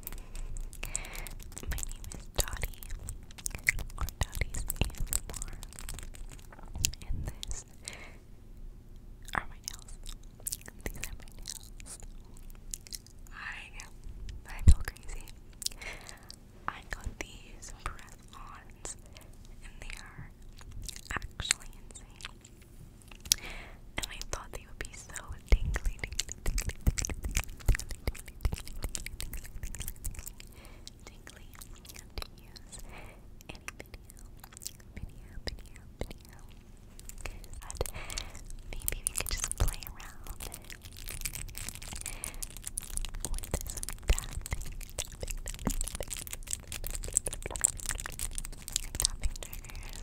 My name is Dottie, or Dottie's ASMR, and this are my nails. These are my nails. I, I feel crazy. I got these press-ons, and they are actually insane. And I thought they would be so tingly, tingly, tingly, tingly, tingly, to use any video, video, video, video. But maybe we could just play around with this tapping, tapping, tapping, tapping, tapping, tapping, tapping triggers.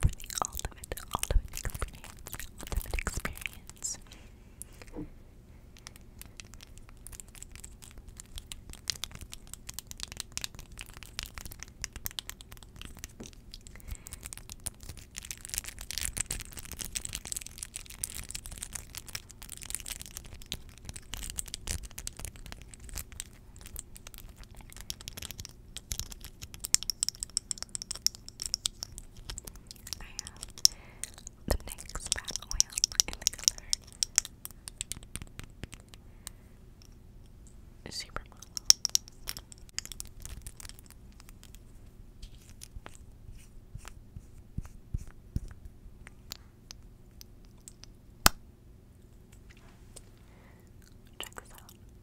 for the ultimate, ultimate experience, ultimate experience. I have the NYX Fat Oil in the color Supermodel. Check this out.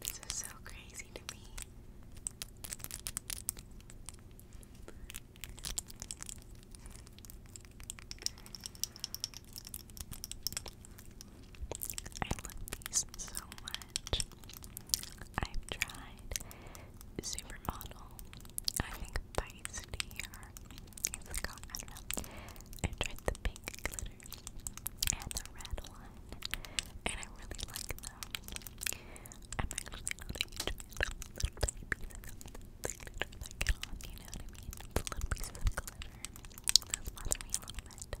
This is so crazy to me. I love these so much. I've tried Supermodel. I think Feisty or it's called, I I tried the pink glitter and the red one, and I really like them. I'm actually not a huge little pieces of glitter that get on, you know The little pieces of glitter. Those bother me a little bit.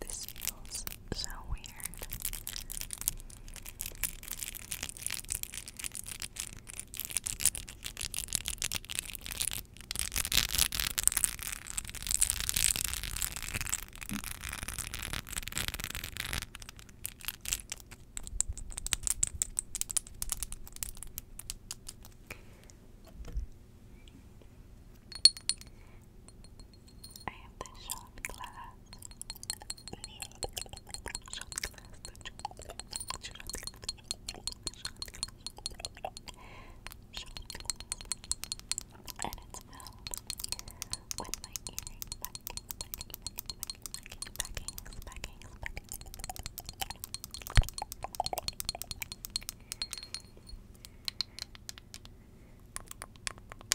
This feels so weird. I have the shot and it's filled with my earring packing, packing, packing, packing, packing, packing, packing.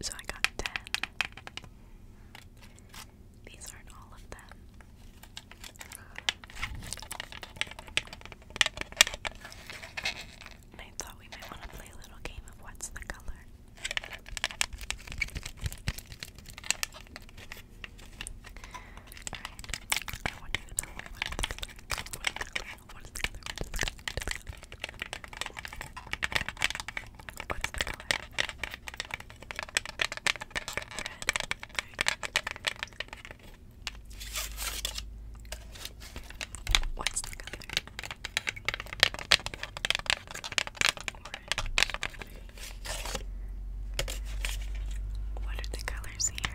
So I got ten. These aren't all of them. And I thought we might want to play a little game of what's the color. Alright, I want you to tell me what is the color. What is the color? What is the color? What is the color? What's the color? Red. What's the color? What are the colors here?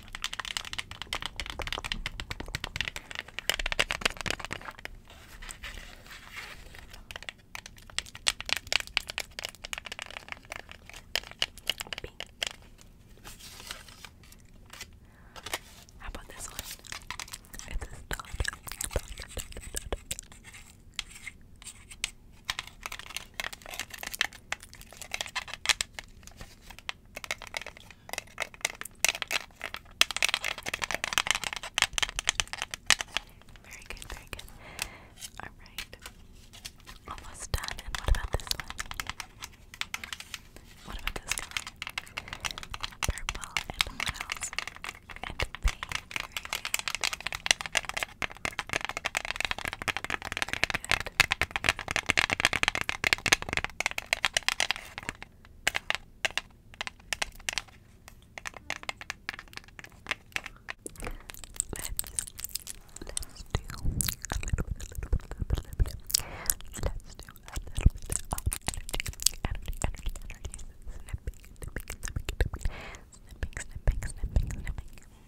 Pink. How about this one? It's a dot. Very good, very good. Alright. Almost done. And what about this one? What about this color? Purple and what And pink. Very good snipping, snipping, snipping.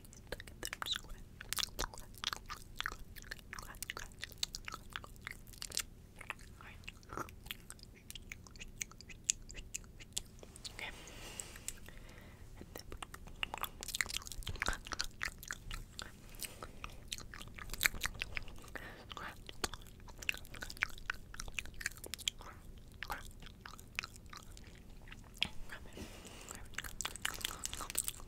being stuck in there. Scratch, scratch, scratch, scratch, scratch, scratch. Alright. Okay. And then scratch, scratch, Grab it. Grab it. Grab it. Grab it. Grab it.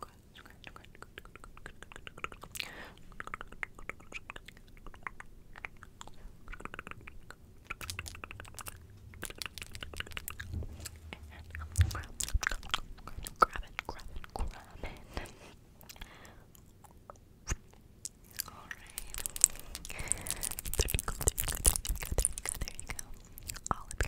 grab it, grab it, grab it. Alright. There you go, there you go, there you go, there you go, there you go. All of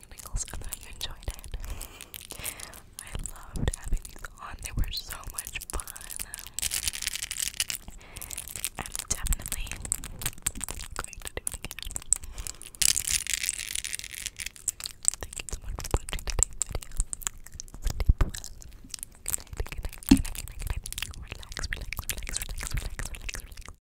tapping tingles you enjoyed it. I loved having these on, they were so much fun. I'm definitely going to do it again. Thank you so much for watching today's video. Sleep well. Good Relax, relax, relax, relax, relax, relax, relax.